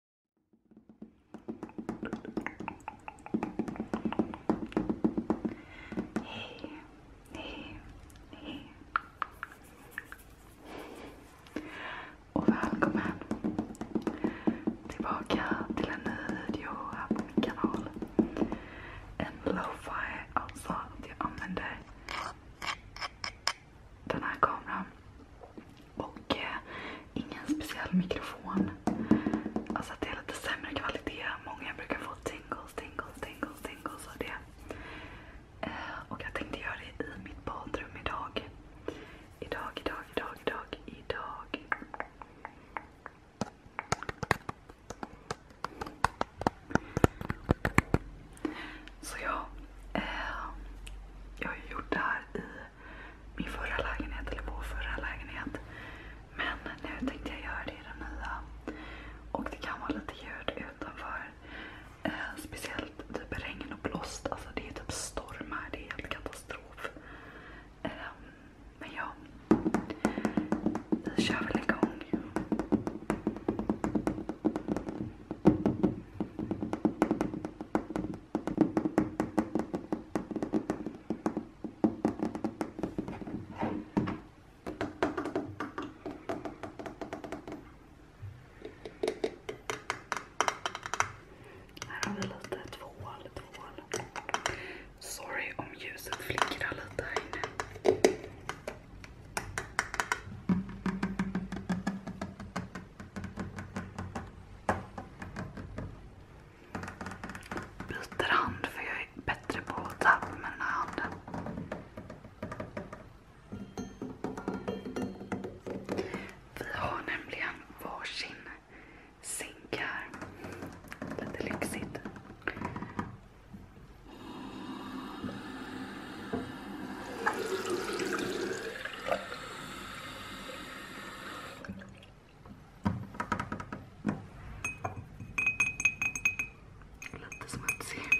Hej, hej, hej. Och välkommen tillbaka till en ny video här på min kanal. En lo-fi, alltså att jag använder den här kameran och eh, ingen speciell mikrofon. Alltså att det är lite sämre kvalitet. Många brukar få tingles, tingles, tingles, tingles av det. Eh, och jag tänkte göra det i mitt badrum idag. Idag, idag, idag, idag, idag. Så ja, eh, jag har ju gjort det här i min förra lägenhet eller vår förra lägenhet. Men nu tänkte jag göra det i den nya. Och det kan vara lite ljud utanför. Eh, speciellt typ regn och blåst. Alltså det är typ storm här, Det är helt katastrof. Eh, men ja. Vi kör väl igång. Här har vi lite tvål, tvål. Sorry om ljuset flickrar lite här inne. byter hand för jag är bättre på att tappa med den här handen. Vi har nämligen varsin zink här. Lite lyxigt. Love this one too.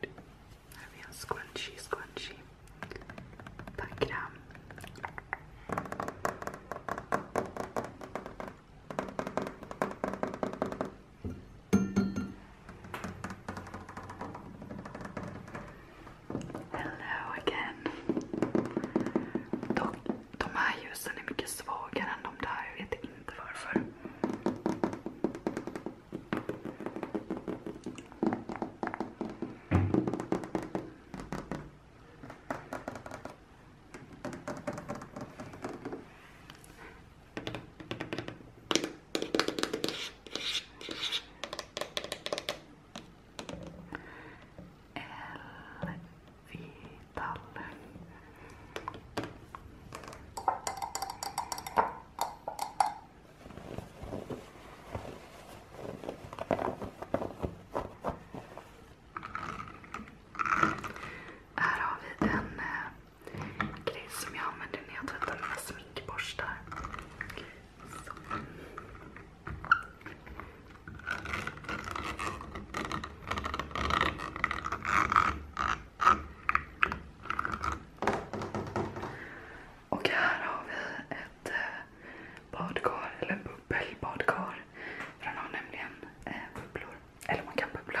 There we are, squanchy, squanchy. Back it out. Hello again. Dock, de här ljusen är mycket svagare än de där. Jag vet inte varför l Här har vi en eh, grej som jag använder när jag tvättar mina sminkborstar. Och här har vi ett eh, badkar, eller bubbelbadkar. För den har nämligen eh, bubblor. Eller man kan bubbla.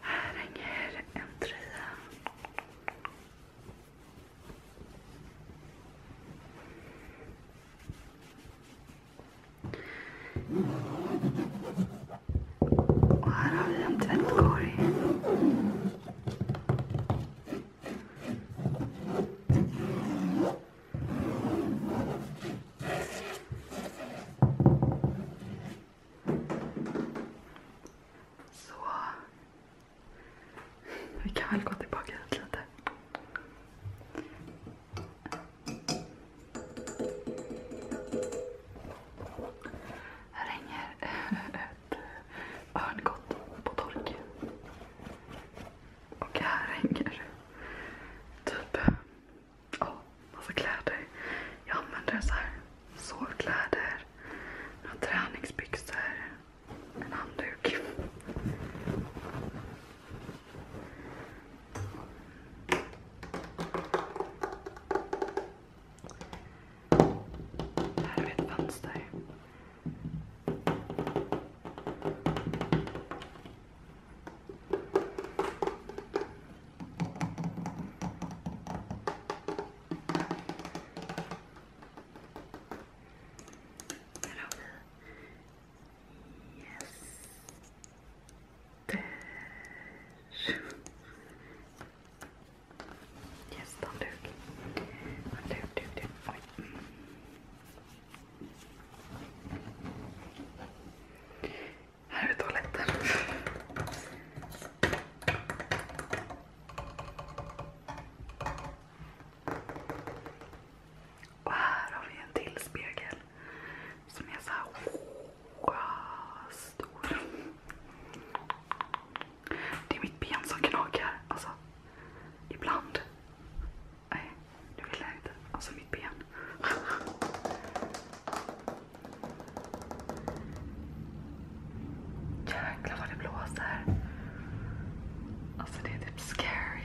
Här hänger en trea. Och här har vi en tvättkorg. Så. Vi kan väl gå tillbaka hit lite. Här hänger ett örngott på tork. Och här hänger typ oh, massa kläder. Jag använder så här sovkläder, några träningsbyxor, en handduk. Här har vi ett fönster. Här har vi gäster. Yes. Gästhandduk. Handduk, duk, duk. Här är toaletten. Och här har vi en till spegel som är så stor. Det är mitt ben som knakar. Alltså, ibland. Nej, det vill jag inte. Alltså mitt ben. Jäklar vad det blåser. Alltså det är typ scary.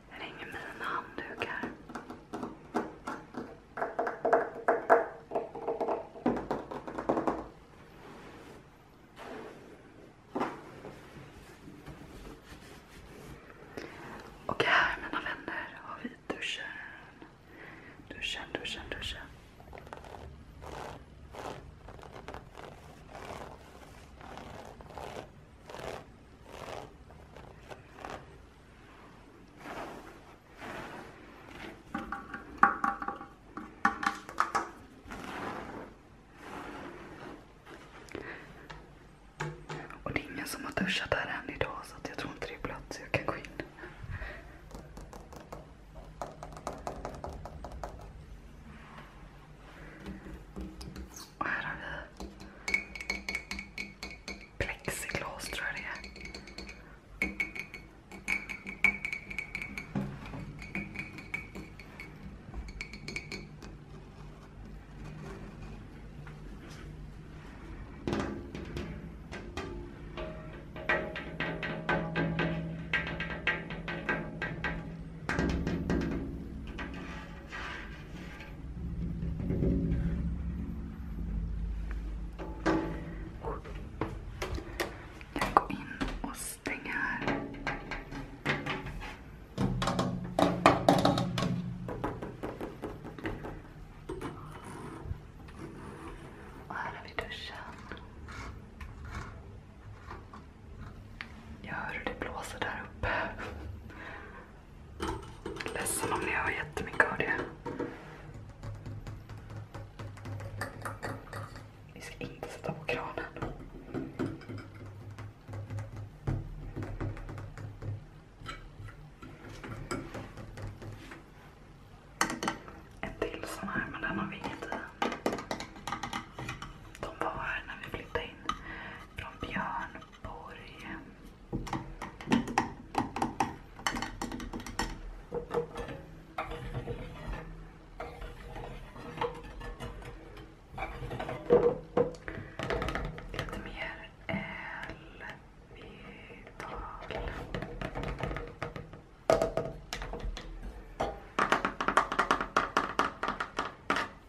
Här hänger mina handdukar. Och här mina vänner har vi duschen. Duschen, duschen, duschen. Och det är ingen som har duschat här än idag så jag tror inte det är blött så jag kan gå in. Och här har vi plexiglas tror jag det är. Jag går in och stänger här. Och här har vi duschen. Jag hör hur det blåser där uppe. Ledsen om ni hör jättemycket av det. Vi ska inte sätta på kranen. En till sån här, men den har vi inget i. De var här när vi flyttade in från Björn. Borgen Lite mer L-vital.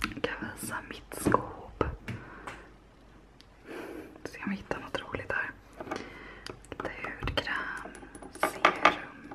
Jag kan visa mitt skåp. Se om jag hittar något roligt här. Lite hudkräm, serum.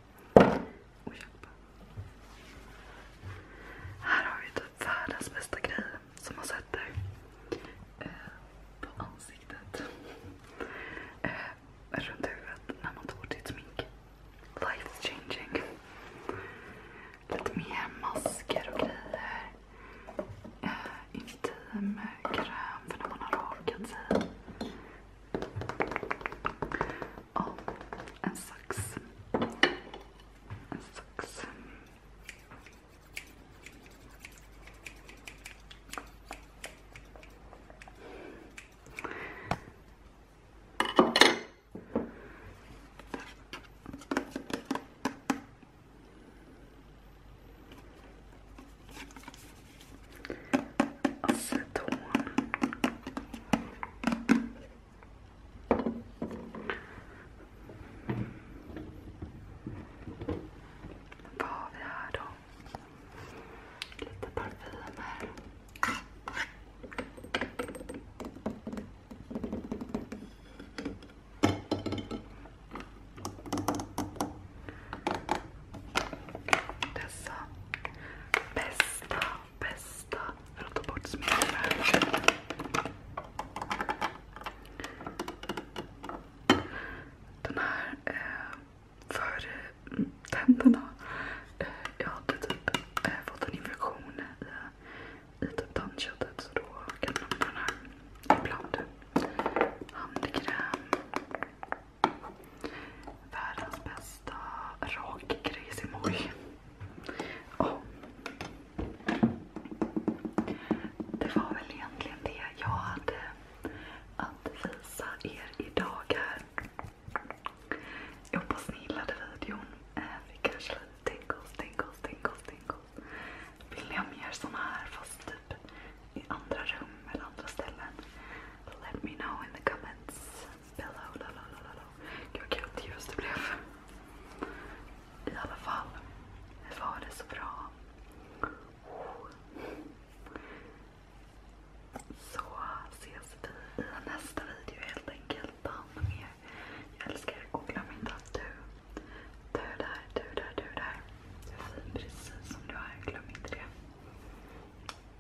Och hjälpa. Här har vi typ världens bästa grej som man sätter eh, på ansiktet. Eh, runt huvudet när man tar bort sitt smink. Life changing. Lite mer och grejer. Eh, kräm för när man har rakat sig. Oh, and socks. And socks. aceton. Vad har vi här då? Lite parfymer dessa bästa, bästa för att ta bort sminkar. Den här eh, för eh, tänderna. Eh, jag hade typ eh, fått en infektion i, i typ tandköttet så då kan man använda den här ibland. Handkräm. Världens bästa rakgrejsimoj. Det var väl egentligen det jag hade att visa er idag här. Jag hoppas ni gillade videon. Eh, vi kanske lite tingles, tingles, tingles, tingles. Vill ni ha mer såna här fast typ i andra rum eller andra ställen? Let me know in the comments. Bella och lalalala. Gud vad grått ljus det blev. I alla fall. Det var det så bra. Oh. Så ses vi i nästa video helt enkelt. Ta hand om er. Jag älskar er och glöm inte att du, du där, du där, du där. Du är fin precis som du är. Glöm inte det.